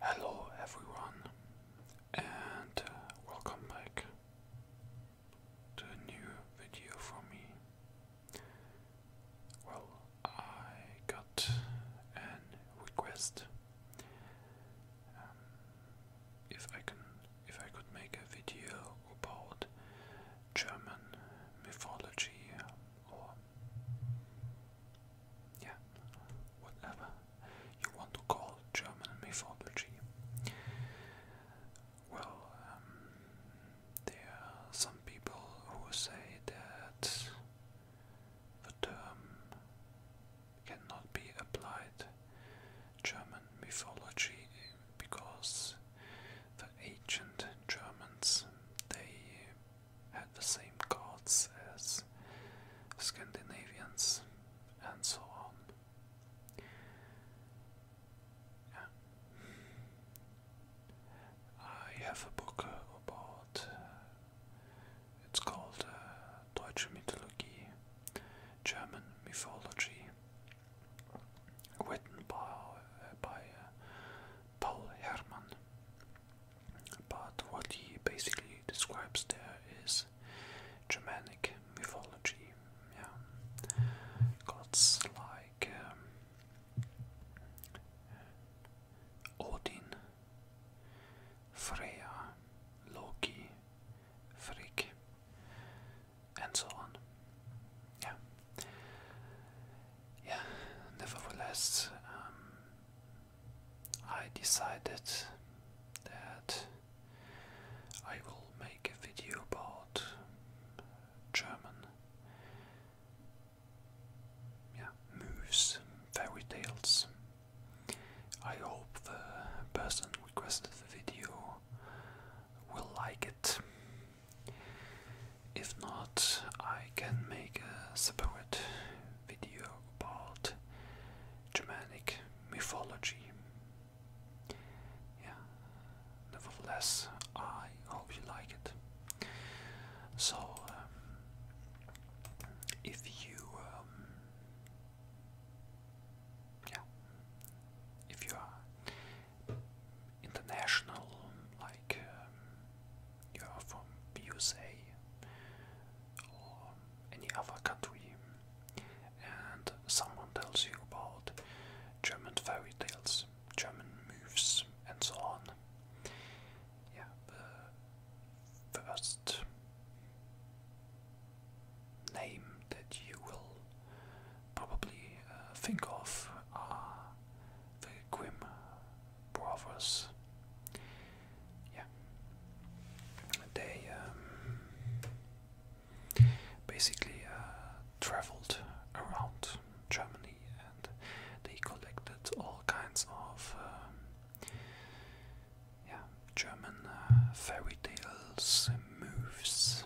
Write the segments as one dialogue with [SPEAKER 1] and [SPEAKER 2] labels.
[SPEAKER 1] Hello, everyone, and uh, welcome back to a new video from me. Well, I got an request um, if I can, if I could make a video about German mythology or yeah, whatever you want to call German mythology. Well, um, there are some people who say that the term cannot be applied German mythology because the ancient Germans they had the same gods as Scandinavians and so on. I have a book about. Uh, it's called uh, Deutsche Mythologie, German Mythology, written by, uh, by Paul Hermann. But what he basically describes there is Germanic mythology, yeah, gods like um, Odin, Freya, Loki, Frigg, and so on. Yeah, yeah, nevertheless, um, I decided that I will make a video about German moves, fairy tales. I hope the person requested the video will like it. If not, I can make a separate video about Germanic mythology. Yeah, nevertheless, I hope you like it. So, um, if you, um, yeah, if you are international, like um, you are from USA or any other country, and someone tells you about German fairy tales, German moves, and so on. Yeah, the first name that you will probably uh, think of are the Grimm brothers. Yeah, they um, basically uh, traveled around Germany and they collected all kinds of um, yeah German uh, fairy tales, moves,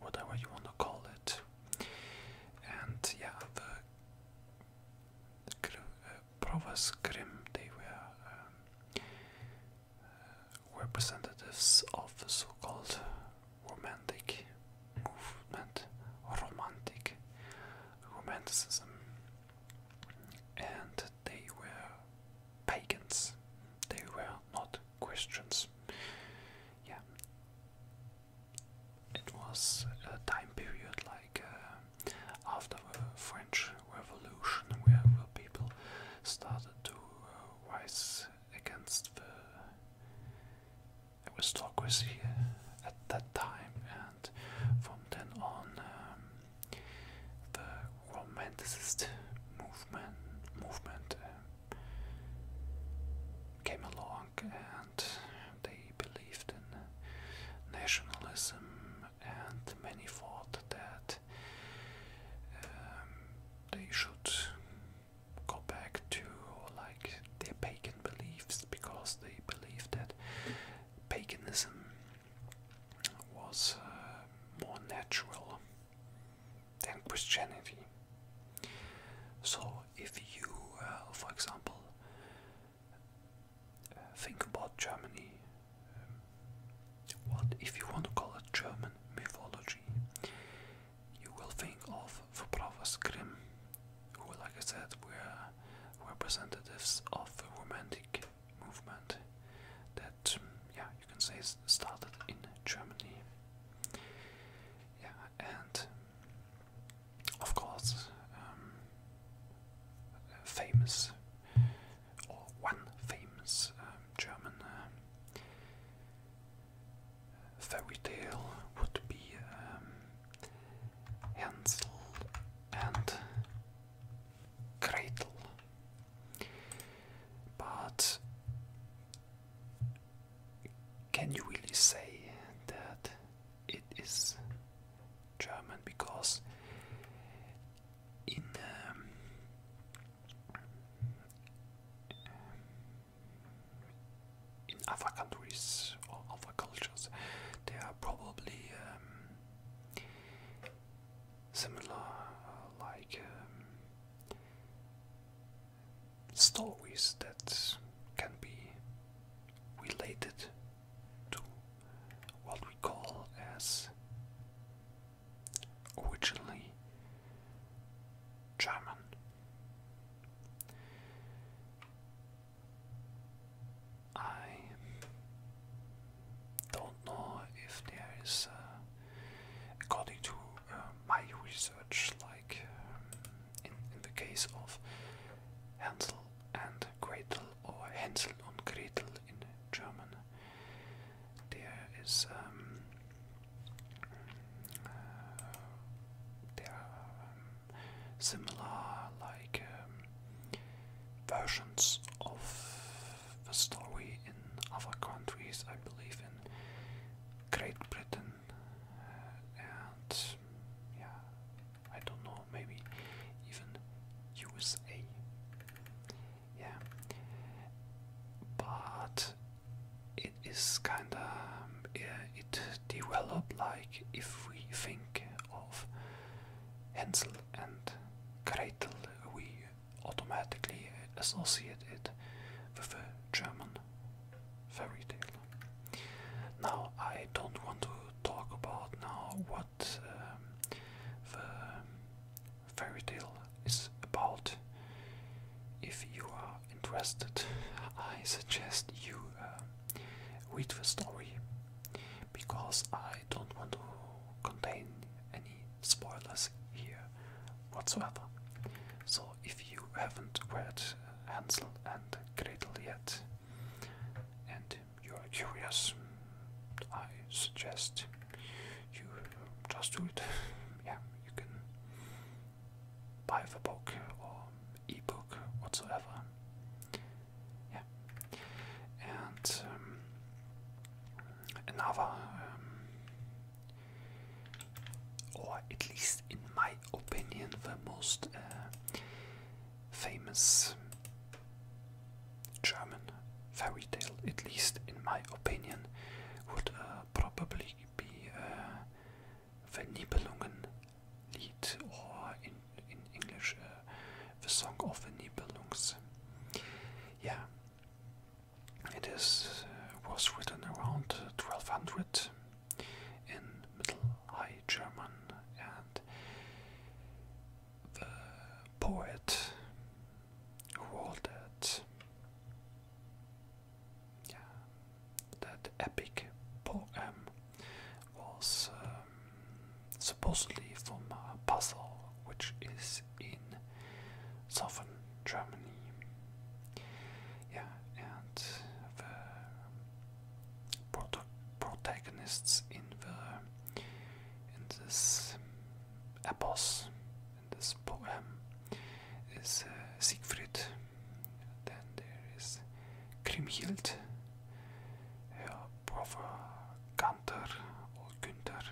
[SPEAKER 1] whatever you want to call it, and yeah Eh, Provaskrim, they were um, eh, representatives of the so-called romantic movement, romantic romanticism, and they were pagans. They were not Christians. Yeah, it was a time period like uh, after the French Revolution, where people started to uh, rise against the aristocracy at that time, and from then on, um, the romanticist movement movement um, came along and they believed in nationalism and many thought that um, they should go back to like their pagan beliefs because they believed that paganism was uh, more natural than Christianity. So if you, uh, for example, uh, think about Germany, um, what if you want to call it German mythology, you will think of the brothers Grimm, who, like I said, were representatives of the Romantic movement that, yeah, you can say started in Germany. Yeah, and of course, um, famous or one famous um, German uh, fairy tale would be um, Hansel and Gretel, but can you really say that it is German? Because in um, in other countries or other cultures, they are probably um, similar, uh, like um, stories that can be related to what we call as originally German. I don't know if there is, uh, according to uh, my research, like um, in, the case of Hansel and Gretel or Hänsel und Gretel in German. There is um, uh, there um, similar like um, versions of the story in other countries. I believe in Great Britain and yeah, I don't know, maybe even USA. Yeah, but it is kinda it developed like if we think of Hansel and Gretel, we automatically associate it with a German fairy tale. Now I don't want to talk about now what um, the fairy tale is about. If you are interested, I suggest you um, read the story because I don't want to contain any spoilers here whatsoever. So if you haven't read Hansel and Gretel yet, and you are curious, I suggest you just do it. yeah, you can buy the book or ebook whatsoever. Yeah, and um, another um, or at least in my opinion, the most uh, famous German fairy tale, at least in my opinion, would uh, probably be uh, the Nibelungen or in, English, uh, the Song of the Nibelungs. Yeah, it is was written around 1200 in Middle High German, and the poet who wrote that, yeah, that epic poem was um, supposedly from a puzzle which is in southern Germany yeah, and the prota protagonists in the in this epos, this poem, is uh, Siegfried. Then there is Kriemhild, her brother Gunther Günther,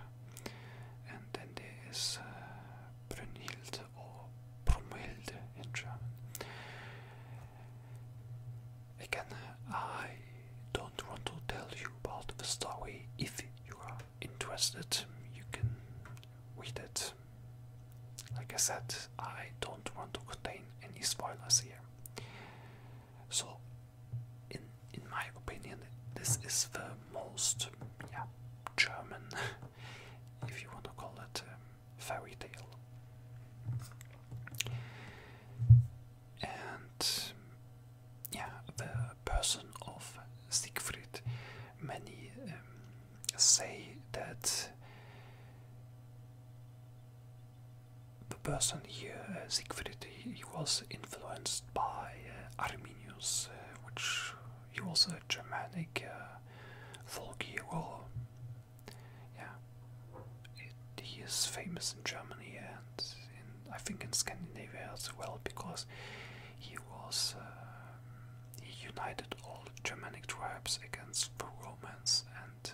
[SPEAKER 1] and then there is uh, or Brumhilde in German. Again, I don't want to tell you about the story. If you are interested, you can read it. Like I said, I don't want to contain any spoilers here. So, in in my opinion, this is the most yeah, German, if you want to call it, um, fairy tale. And yeah, the person of Siegfried, many um, say that the person here, uh, Siegfried, he, was influenced by uh, Arminius, uh, which he was a Germanic uh, folk hero. Yeah, he is famous in Germany and I think in Scandinavia as well because he was uh, he united all Germanic tribes against the Romans and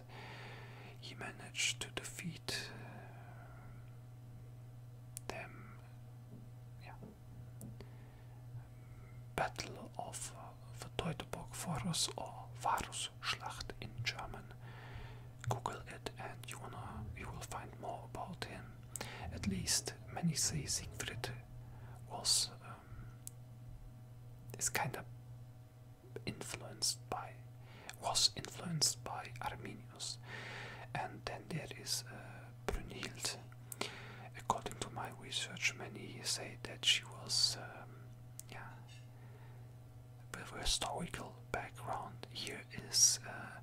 [SPEAKER 1] he managed to defeat uh, them. Yeah. Battle of the uh, Teutoburg Forest or Schlacht in German. Google it and you, will find more about him. At least many say Siegfried was um, is kind of influenced by was influenced by Arminius. And then there is uh, Brunhild According to my research, many say that she was, um, yeah, with a historical background. Here is uh,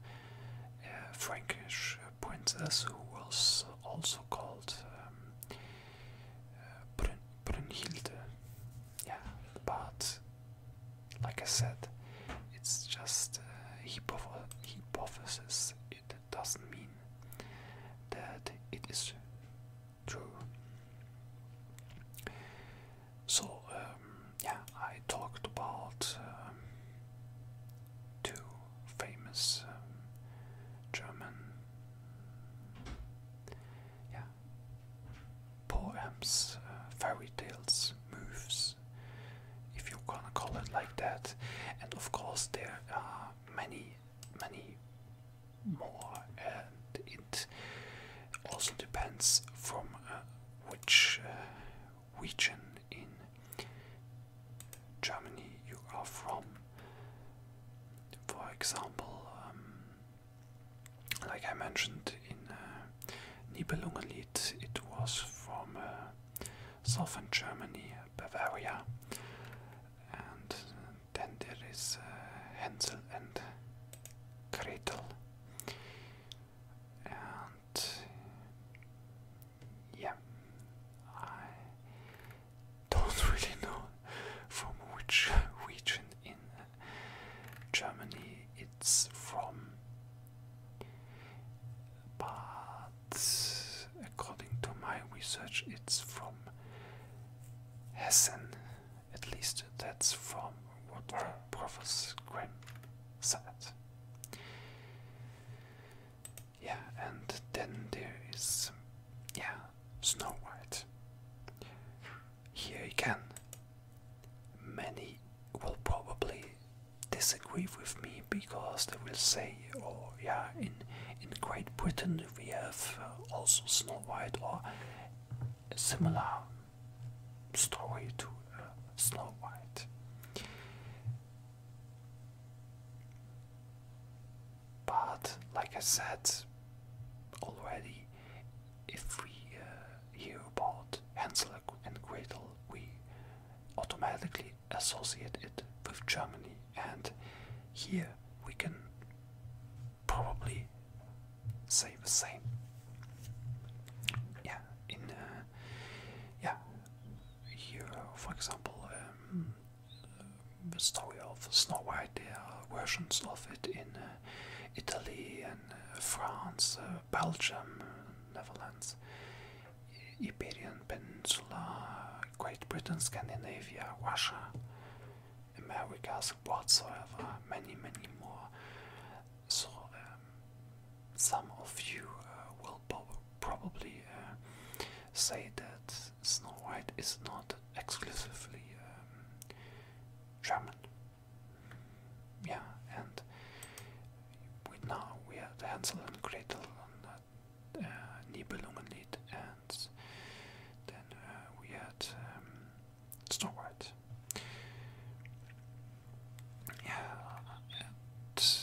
[SPEAKER 1] a Frankish princess who was also called um, uh, Brunhilde. Yeah, but like I said, it's just a hypothesis doesn't mean that it is true. So, um, yeah, I talked about um, two famous um, German poems, uh, fairy tales, moves, if you're gonna call it like that. And of course, there are many many more, and it also depends from uh, which uh, region in Germany you are from. For example, um, like I mentioned in uh, Nibelungenlied, it was from southern Germany, Bavaria, and then there is Hansel uh, and Gretel, and yeah, I don't really know from which region in Germany it's from, but according to my research, it's from Hessen. At least that's from what the Professor Grimm said. Yeah, and then there is, yeah, Snow White. Here again, many will probably disagree with me because they will say or yeah, in in Great Britain we have uh, also Snow White or similar story to uh, Snow White. But like I said already, if we uh, hear about Hansel and Gretel, we automatically associate it with Germany, and here we can probably say the same. Yeah, in uh, yeah, here for example, um, the story of Snow White. There are versions of it in uh, Italy and uh, France, uh, Belgium, Netherlands, Iberian Peninsula. Great Britain, Scandinavia, Russia, Americas, whatsoever, many, many more. So, um, some of you uh, will probably uh, say that Snow White is not exclusively um, German. Yeah, and we now we had Hansel and Gretel and uh, Nibelungenlied, and then uh, we had um, Yeah, and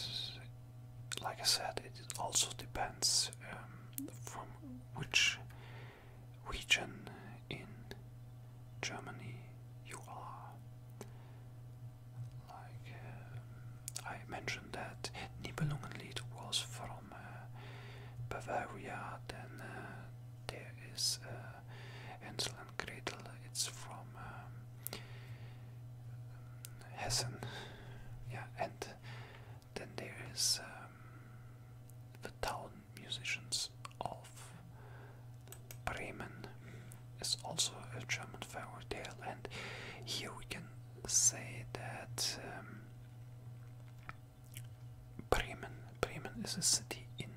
[SPEAKER 1] like I said, it also depends um, from which region in Germany you are. Like um, I mentioned that Nibelungenlied was from uh, Bavaria, then uh, there is uh, Gretel, it's from um, Hessen, yeah, and then there is um, the town musicians of Bremen, It's also a German fairy tale, and here we can say that um, Bremen, Bremen is a city in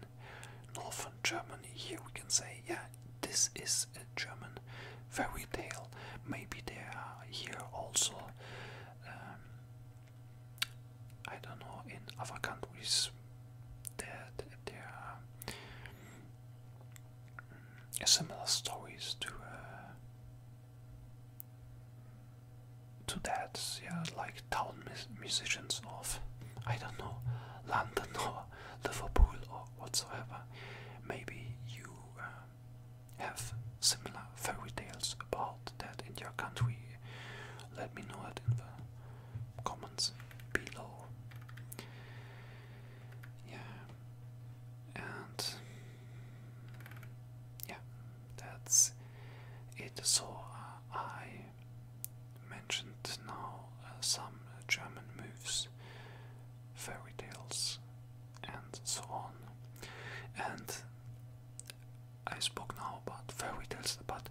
[SPEAKER 1] northern Germany. Here we can say, yeah, this is a German fairy tale. Maybe there are here also, um, I don't know, in other countries that there are mm, similar stories to. Uh, to that, yeah, like town musicians of, I don't know, London or Liverpool or whatsoever. Maybe you um, have similar fairy tales about that in your country. Let me know it in the comments below. Yeah, and yeah, that's it. So uh, I mentioned now uh, some German moves, fairy tales, and so on. And I spoke now about fairy tales, but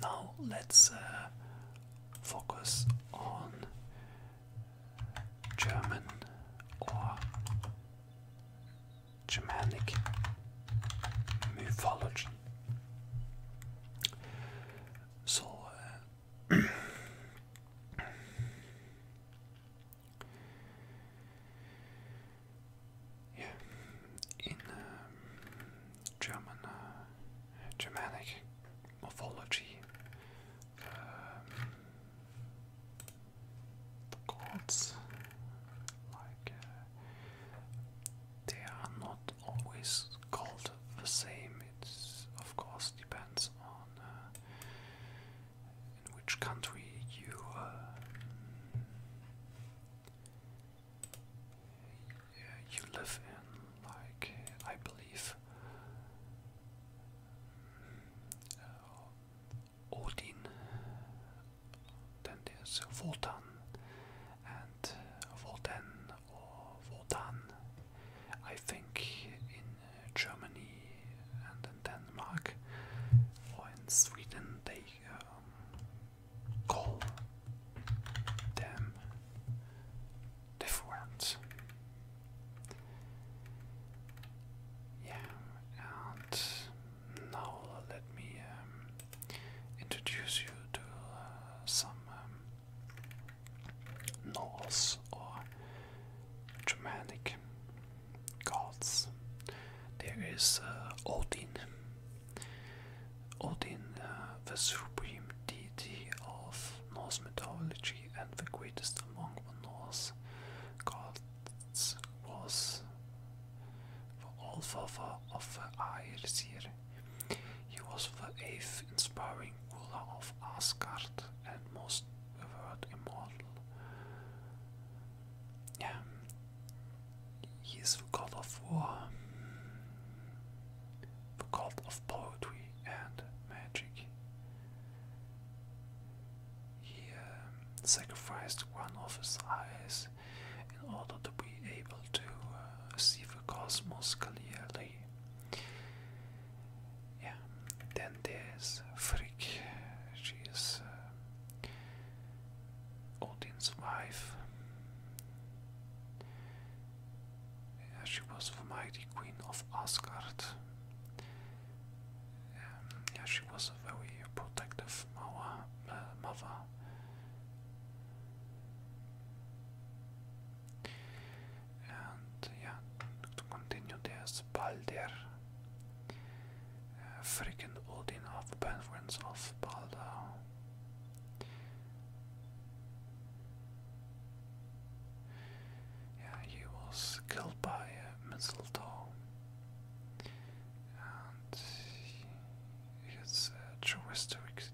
[SPEAKER 1] now let's uh, focus on German or Germanic mythology. So, uh, yeah, in uh, German, uh, Germanic morphology the gods, like uh, they are not always called the same. It's of course depends on uh, which country you. Uh, you live in, like I believe, Odin, then there's Voltan, and Volten or Voltan, I think in Germany and in Denmark or in Sweden they um, call them different. Yeah, and now let me um, introduce you to uh, some um, Norse or Germanic gods. There is uh, Odin. Odin, uh, the supreme deity of Norse mythology and the greatest among the Norse, God's was for Alfalfa of Aesir. He was the eighth inspiring ruler of Asgard and most revered immortal. Yeah. He is the god of war, the god of poetry and magic. He um, sacrificed one of his eyes in order to be able to uh, see the cosmos clearly. Yeah, then there's Frick, she is uh, Odin's wife. Yeah, she was the mighty queen of Asgard yeah, she was a very protective mother. Uh, And yeah, to continue, there's Balder, uh, freaking Odin of Penguins of Balder. Yeah, he was killed by a mistletoe, and his uh, characteristics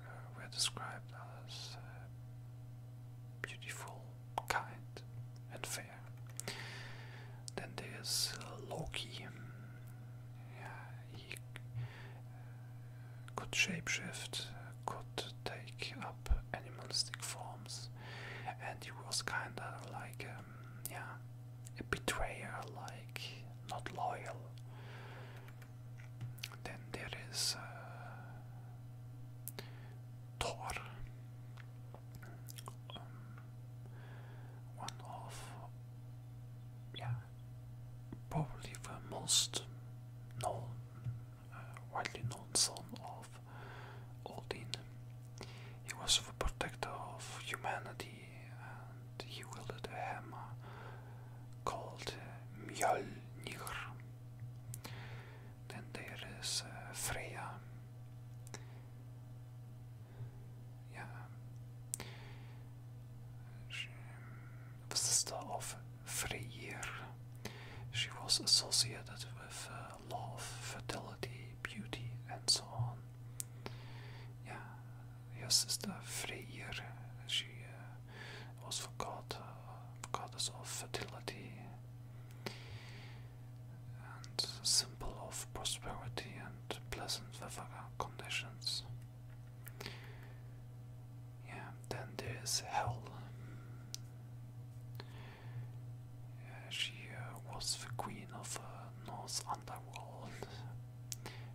[SPEAKER 1] uh, were described as uh, beautiful, kind, and fair. Then there's Loki. Yeah, he could shapeshift, could take up animalistic forms, and he was kinda like, um, yeah, a betrayer, like not loyal. Then there is uh, Thor, um, one of, yeah, probably the most known uh, widely known son of Odin. He was the protector of humanity and he wielded a hammer called uh, Mjolnir. Then there is uh, Freya. Yeah. She, the sister of Freyr. She was associated with uh, love, fertility, beauty, and so on. Yeah, her sister Freyr, she uh, was for God, uh, goddess of fertility and symbol of prosperity and pleasant weather conditions. Yeah, then there's Hel. she uh, was the queen of the uh, North Underworld.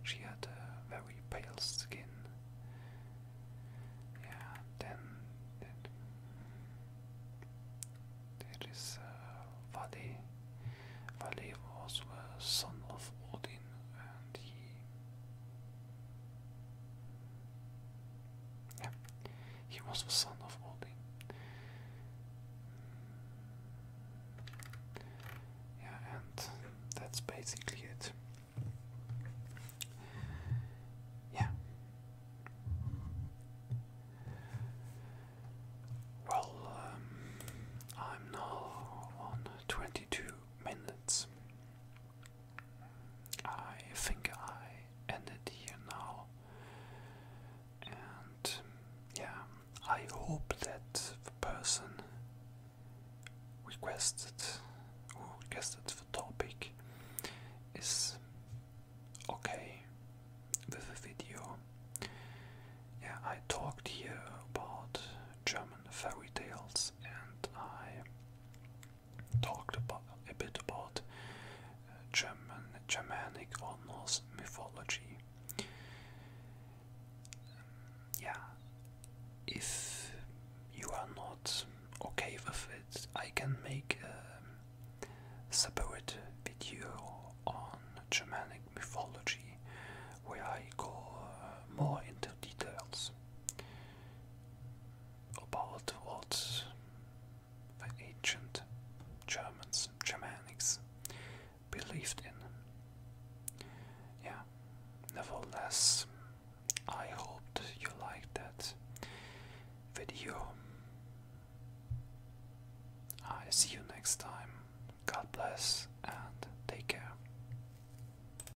[SPEAKER 1] she had a very pale skin. Yeah, then, there is uh, Vali. Vali was a son of Odin and he yeah, he was the son of Odin. Yeah, and that's basically it. Yeah. Well, um, I'm now on 22 minutes. I think I ended here now. And yeah, I hope that the person requested who requested the topic is okay with the video. Yeah, I talked here about German fairy tales and I talked a bit about uh, Germanic or Norse mythology. yeah, if you are not okay with it, I can make a separate video on Germanic mythology where I go uh, more into details. About what the ancient Germans, Germanics, believed in. Yeah, nevertheless, I hope you liked that video. I see you next time. God bless and take care.